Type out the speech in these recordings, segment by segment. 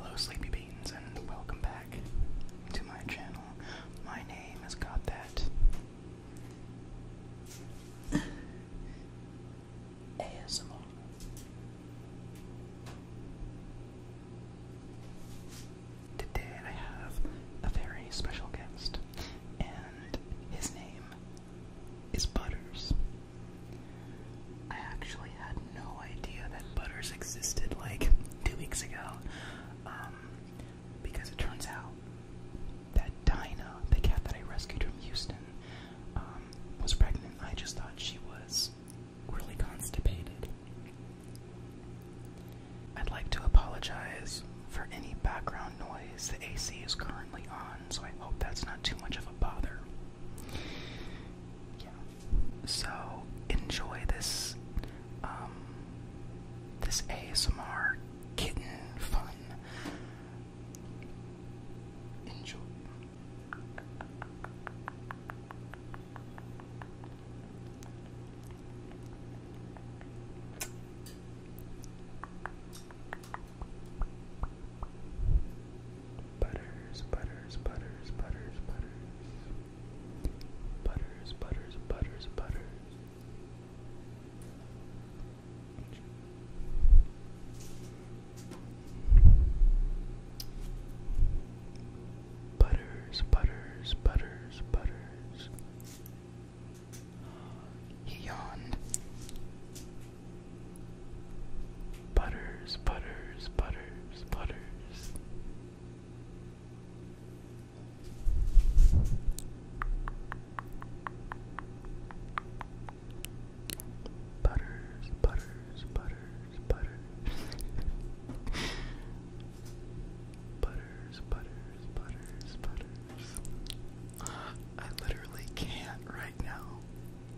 Hello Sleepy Beans and welcome back to my channel. My name has got that ASMR. Today I have a very special guest and his name is Butters. I actually had no idea that butters existed like two weeks ago. Um, because it turns out that Dinah, the cat that I rescued from Houston, um, was pregnant. I just thought she was really constipated. I'd like to apologize for any background noise. The AC is currently on, so I hope that's not too much of a bother yeah. So enjoy this um this ASMR kitten fun. Enjoy. Butters, butters, butters, butters, butters. Butters, butters, butters, butters. Butters, butters, butters, butters. He yawned. Butters, butters, butters, butters. Butters, butters, butters, butters. butters, butters, butters, butters. I literally can't right now.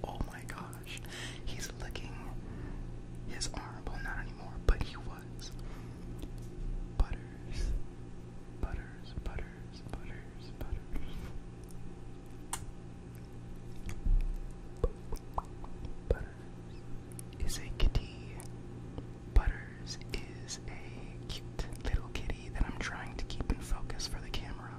Oh my gosh. He's licking his arm. Well, not anymore, but he was. Butters. Butters, butters, butters, butters. Butters is a kitty. Butters is a cute little kitty that I'm trying to keep in focus for the camera.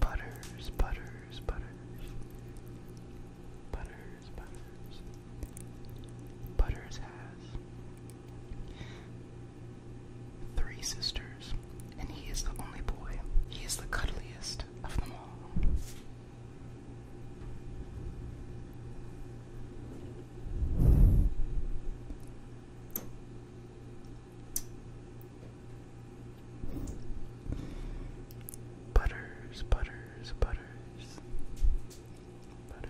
Butters, butters, butters. Butters, butters. Butters has three sisters, and he is the only boy. He is the cuddliest of them all. Butters, butters, butters, butters.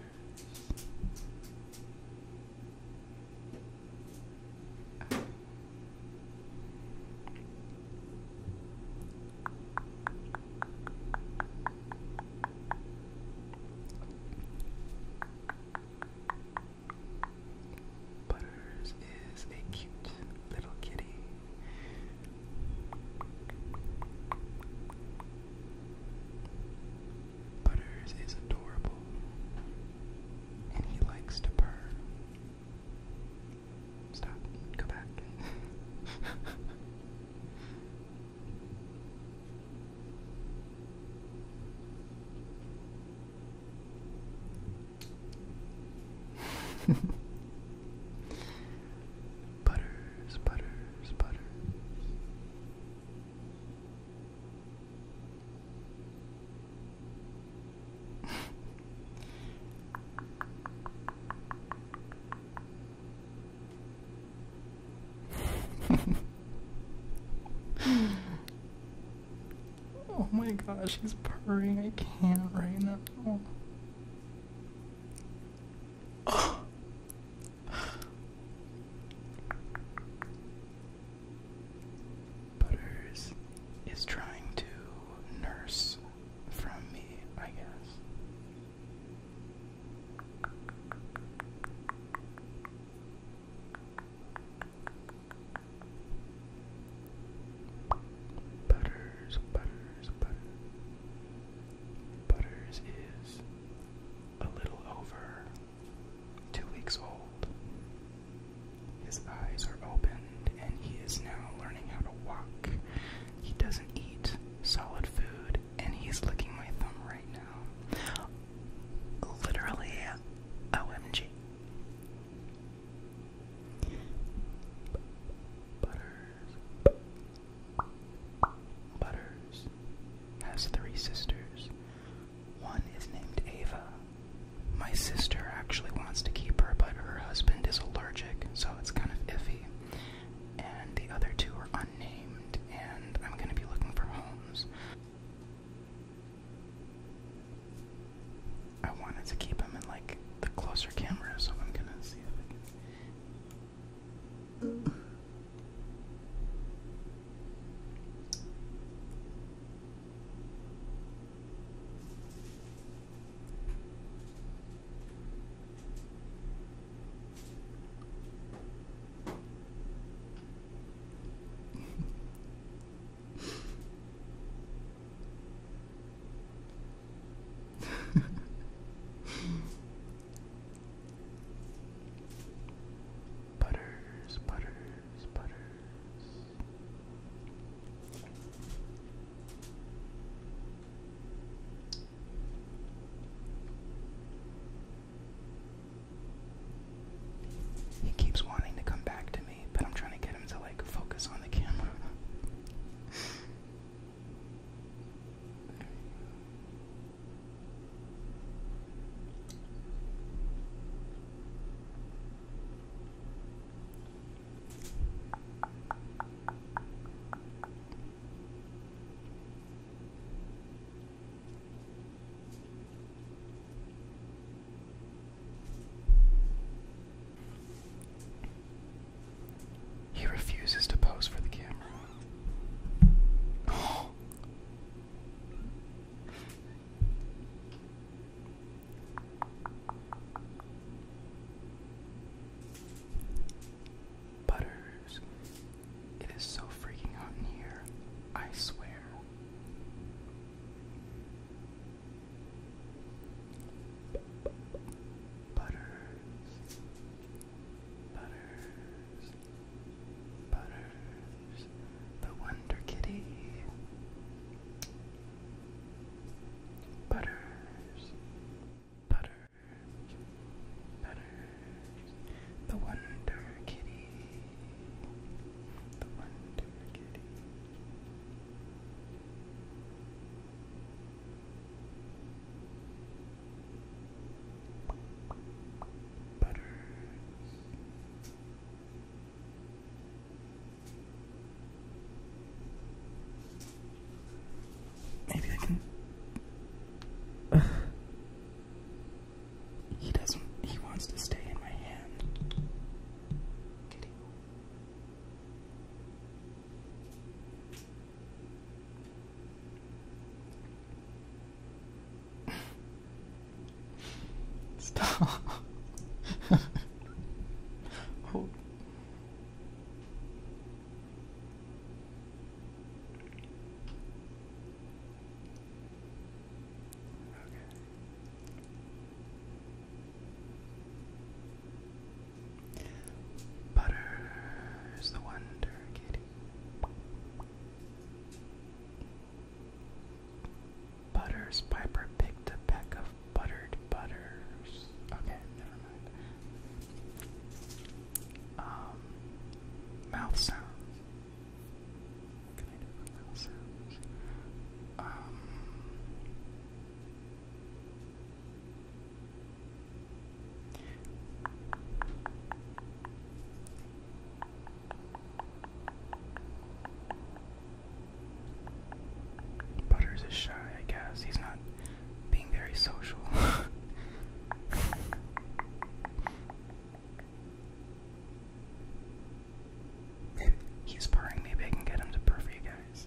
Butters is a cute little kitty. Butters is adorable and he likes to purr. Stop. Go back. butters, butters, butters oh my gosh, he's purring. I can't right now. Butters is trying to nurse from me, I guess. Butters, Butters, Butters. is a little over two weeks old. His eyes are opened, and he is now learning how to walk. He doesn't eat solid food, and he's licking my thumb right now. Literally, OMG. Butters has three sisters. One is named Ava, my sister actually wants to keep her, but her husband is allergic, so it's kind of iffy. And the other two are unnamed, and I'm gonna be looking for homes. I wanted to keep them in like the closer camera, so I'm gonna see if butters, butters, butters. He keeps wanting to come back to me, but I'm trying to get him to like focus on the camera. He refuses to pose for the camera. Butters. It is so freaking hot in here. I swear. Butters. Butters. Butters the Wonder Kitty. Butters, Butters, Butters, the Wonder Kitty, the Wonder Kitty. Butters, Maybe I can. he doesn't. He wants to stay in my hand. Kitty. Stop. oh. Okay. Butter is the wonder, kitty. Butters Piper picked a peck of buttered butters. Okay, never mind. Um, mouth sounds. can I do mouth sounds? Um. Butters is shy, I guess. He's not being very social. he's purring. Maybe I can get him to purr for you guys.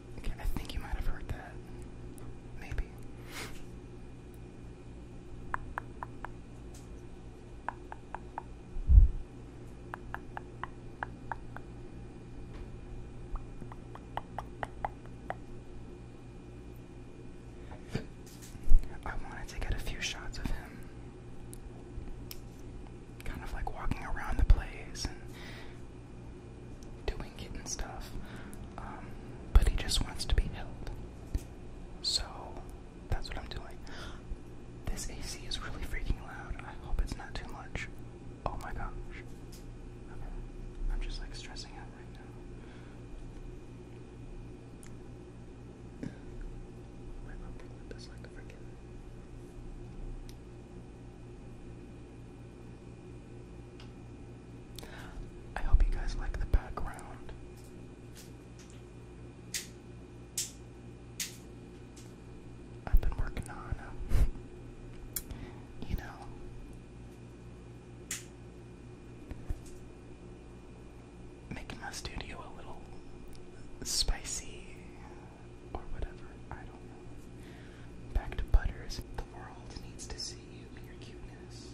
I think you might have heard that. Maybe. I wanted to get a few shots of him kind of like walking around the place and doing it stuff. Um, but he just wants to be held. So that's what I'm doing. This AC is really freaking loud. I hope it's not too much. Oh my god, I'm just like stressing out right now. Wait, I'll like a freaking I hope you guys like the background. I've been working on, uh, you know, making my studio a little spicy or whatever. I don't know. Back to Butters. The world needs to see you and your cuteness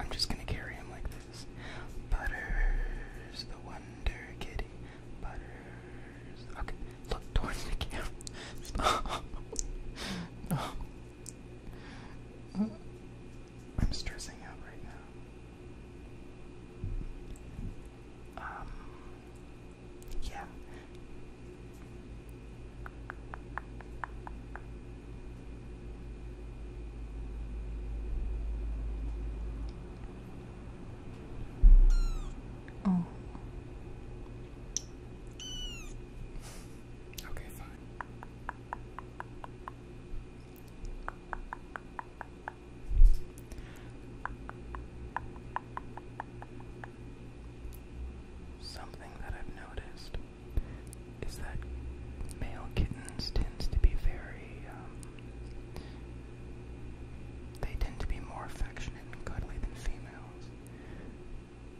I'm just gonna carry him like this. Butters, the wonder kitty. Butters. Okay, look towards the camera. Stop. no. I'm stressing out right now. Um. Yeah, Oh. Okay, fine. Something that I've noticed is that male kittens tends to be very, um, they tend to be more affectionate and cuddly than females.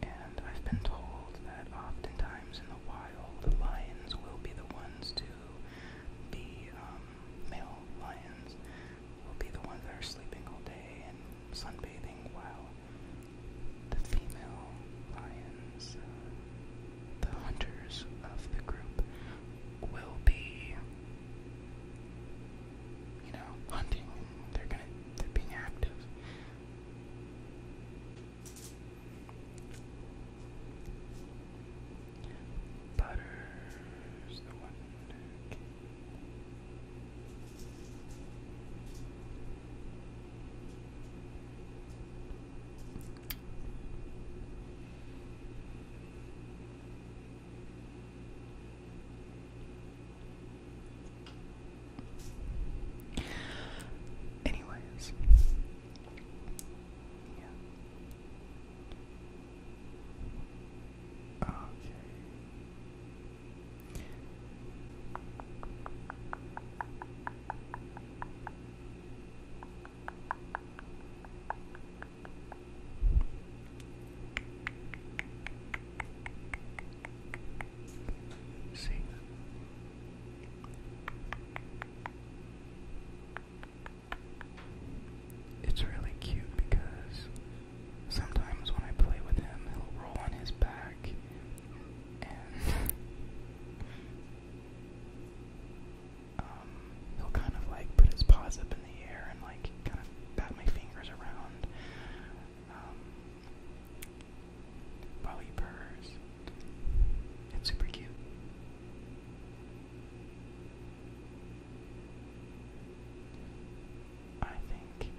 And I've been told that oftentimes in the wild, the lions will be the ones to be, um, male lions will be the ones that are sleeping all day and sunbathing while the female lions, the hunters of the group, will be, you know, hunting. They're gonna, they're being active. Butters Anyways, yeah. Okay. See. It's really cute because Sometimes when I play with him, he'll roll on his back and um, he'll kind of like put his paws up in the air and like kind of bat my fingers around. Um, while he purrs. It's super cute. I think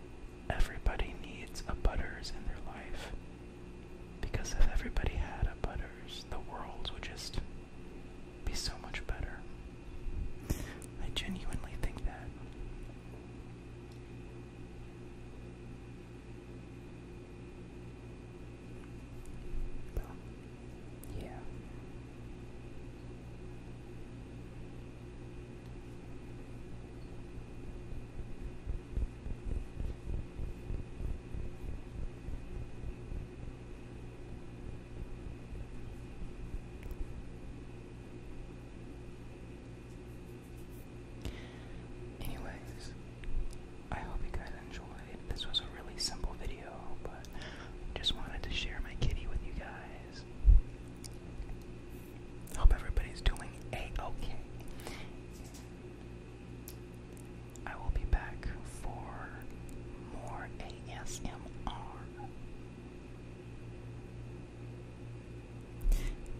everybody needs a Butters in their life. Because if everybody had a Butters, the world would just be so much better. I genuinely think that. yeah. Anyways, I hope you guys enjoyed. This was a really simple video, but just wanted to share my kitty with you guys. Hope everybody's doing okay. I will be back for more ASMR.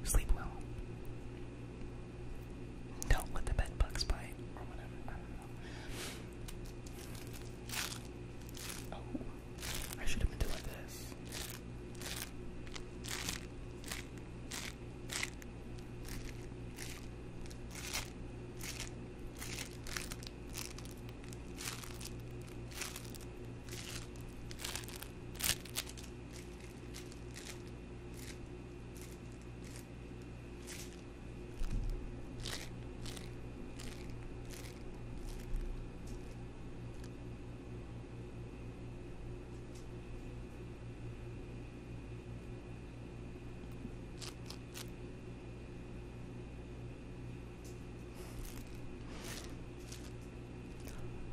Sleep well. Don't let the bed bugs bite or whatever. I should have been doing this.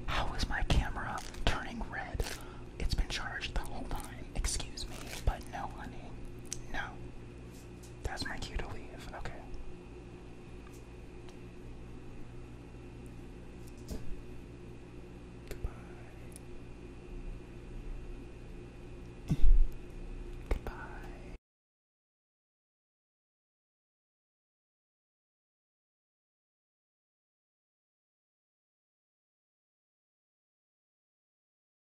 How is my camera turning red? It's been charged the whole time. Excuse me, but no, honey. No. That's my cue to leave. Okay. Goodbye. Goodbye.